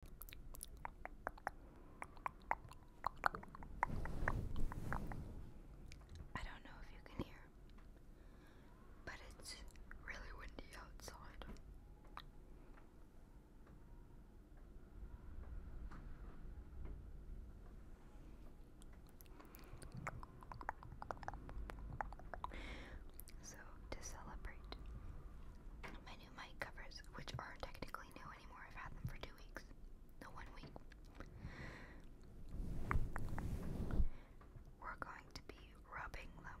I don't know if you can hear, but it's really windy outside. So, to celebrate mic covers, which aren't technically new anymore. I've had them for two weeks. No, one week. We're going to be rubbing them.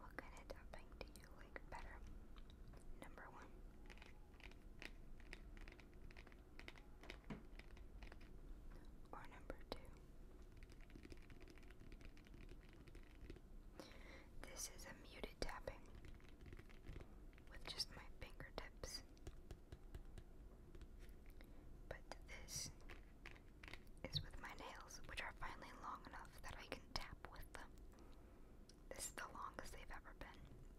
What kind of tapping do you like better? Number one, or number two. This is a muted tapping with just my fingertips. But this is with my nails, which are finally long enough that I can tap with them. This is the longest they've ever been,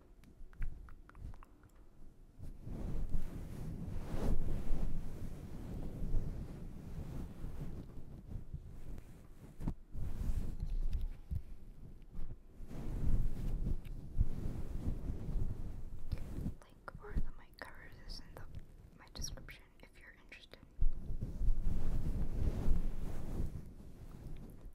Link for the mic covers is in the my description if you're interested.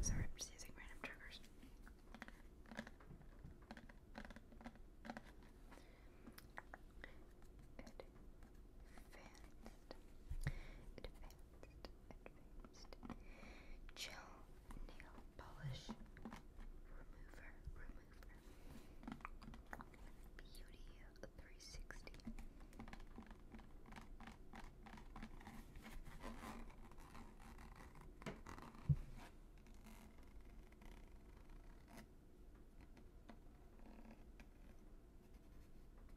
Sorry, i just using random triggers fragrance. nail polish Remover. Beauty 360.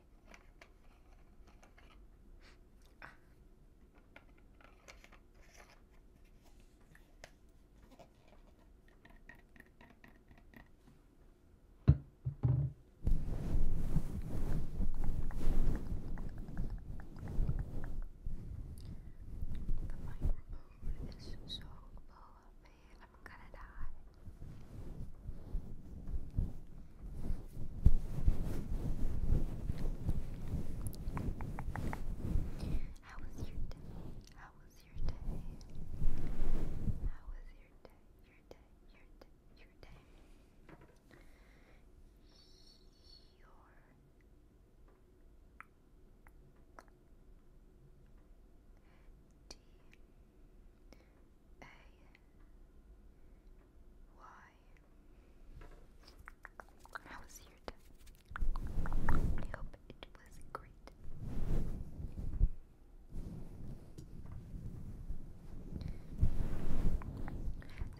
The microphone is so low up here. I'm gonna die. How was your day? How was your day? How was your day? Your day, your day, your day. Your D a Y. How was your day? I hope it was great.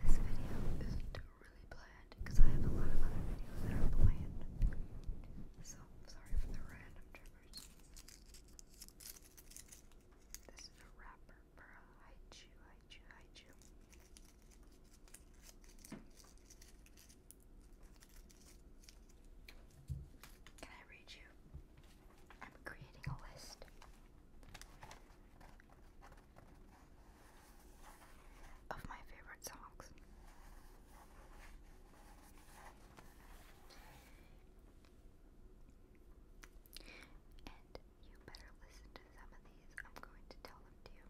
This video isn't really planned because I have a lot of other videos that are planned. So sorry for the random triggers. This is a wrapper for a haichu, haichu, haichu. Can I read you? I'm creating a list. Of my favorite songs. And you better listen to some of these. I'm going to tell them to you.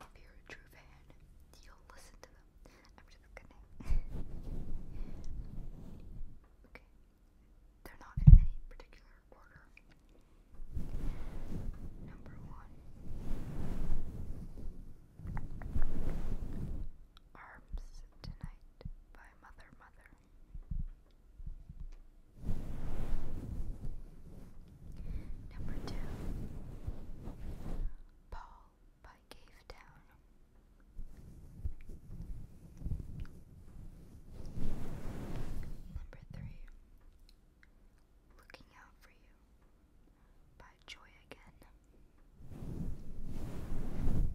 If you're a true fan, you'll listen to them. I'm just kidding. okay. They're not in any particular order. Number one. Arms Tonight by Mother Mother. Number two, Paul by Cave Town. Number three, Looking Out for You by Joy again. Number four, Mr. Loverman,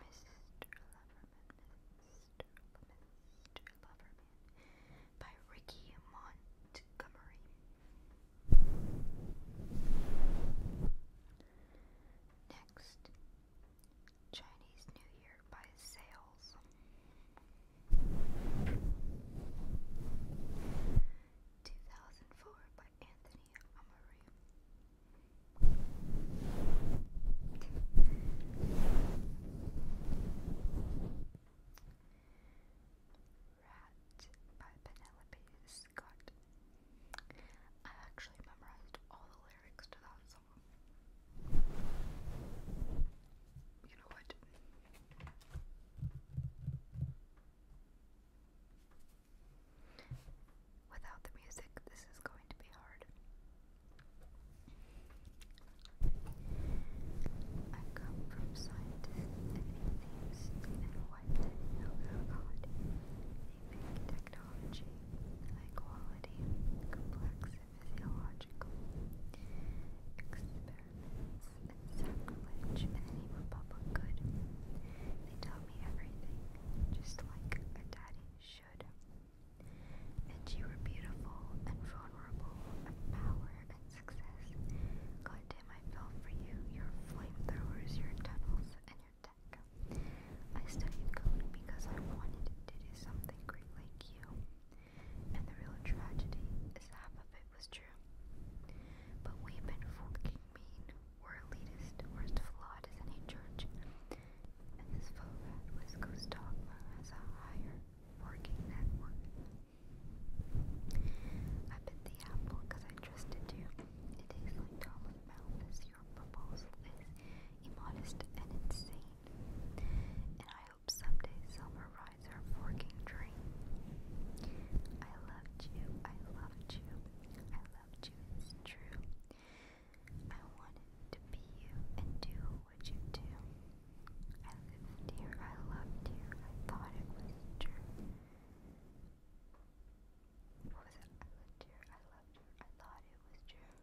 Mr. Loverman, Mr. Mr. Loverman by Ricky Montgomery. Next, Chinese New Year by Sales. Two thousand four by Anthony Amaru. Rat by Penelope Scott. I actually memorized all the lyrics to that song. You know what? Without the music, this is going to be hard. I come from scientists and atheists and white. Oh, oh God shaping technology, high quality, complex physiological experiments, and sacrilege in the public good. They taught me everything, just like a daddy should. And you were beautiful and vulnerable and power and success. God I fell for you, your flamethrowers, your tunnels, and your I studied code because I wanted to do something great like you. And the real tragedy is half of it was true. But we've been fucking mean. we elitist, worst are as flawed as any church. And this faux rat with Ghost Dogma has a higher working network. I bit the apple because I trusted you. It tastes like Thomas Malthus. Your proposal is immodest, and insane. And I hope someday summer rides our forking dream. I loved you, I loved you, I loved you, it's true. I wanted to be you and do what you do. I lived here, I loved you, I thought it was true. What was it? I lived here, I loved her, I thought it was true.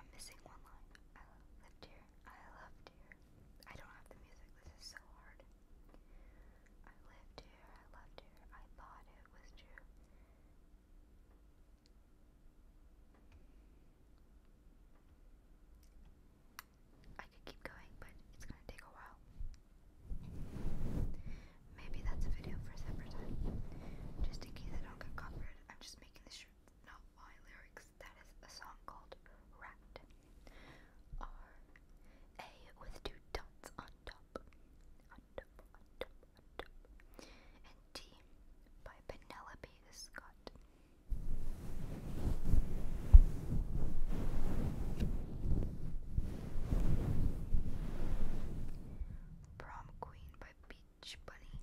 I'm missing one line. I lived here, I loved here. I don't have the music, this is so hard. I lived here, I loved here, I thought it was true. I could keep going, but it's gonna take a while. Maybe that's a video for a separate time. Just in case I don't get covered, I'm just making this shirt not my lyrics. That is a song called Rat. R A with two dots on top. On top, on top, on top. And T by Penelope Scott. Prom Queen by Beach Bunny.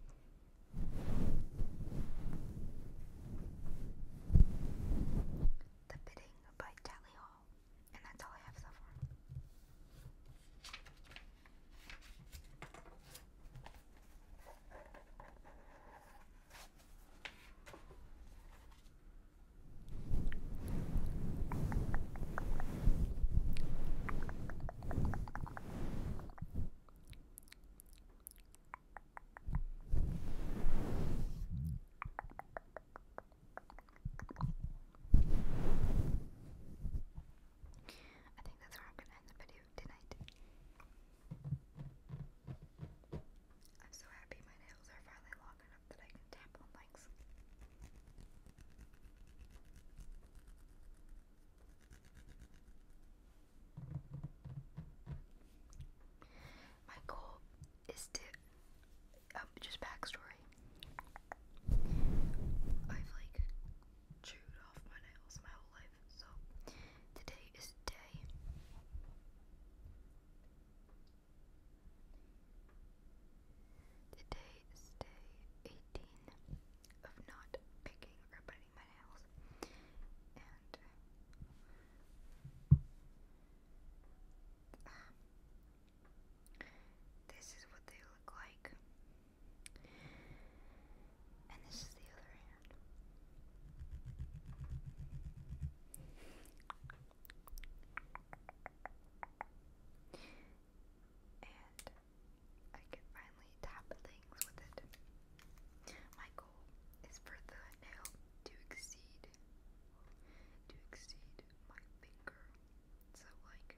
The Bidding by Tally Hall. And that's all I have so far. I think that's where I'm going to end the video tonight. I'm so happy my nails are finally long enough that I can tap on legs. My goal is to um, just backstory. I've like chewed off my nails my whole life, so today is day Today is day 18 of not picking or biting my nails. And this is what they look like. And this is the other hand. And I can finally tap things with it. My goal is for the nail to exceed to exceed my finger. So like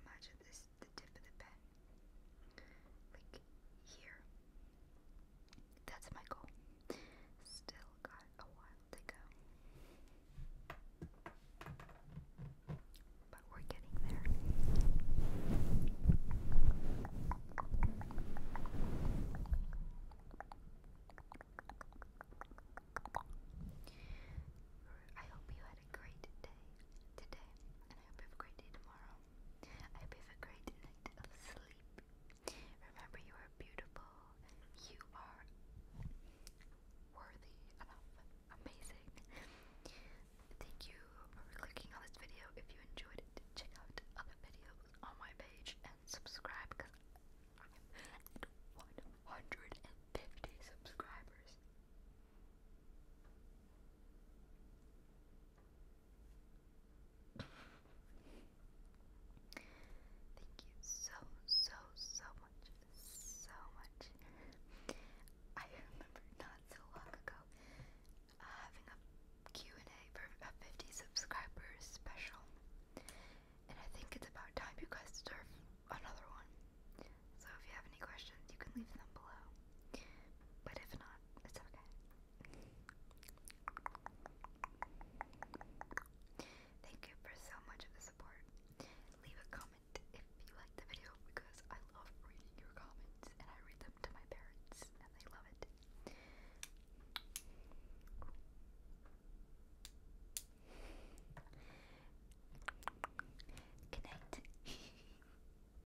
imagine this the tip of the pen. Like here. That's my goal. Still got a while to go. But we're getting there. I hope you had a great day today, and I hope you have a great day tomorrow. I hope you have a great night of sleep. Remember, you are beautiful. You are worthy Amazing. Thank you for clicking on this video. If you enjoyed it, check out other videos on my page and subscribe because I am at 150 subscribers. Thank you so, so, so much. So much. I remember not so long ago uh, having a and a for a 50 subscribers special. And I think it's about time you guys deserve another one. So if you have any questions, you can leave them below. But if not, it's okay. Thank you for so much of the support. Leave a comment if you like the video because I love reading your comments and I read them to my parents and they love it. Good night.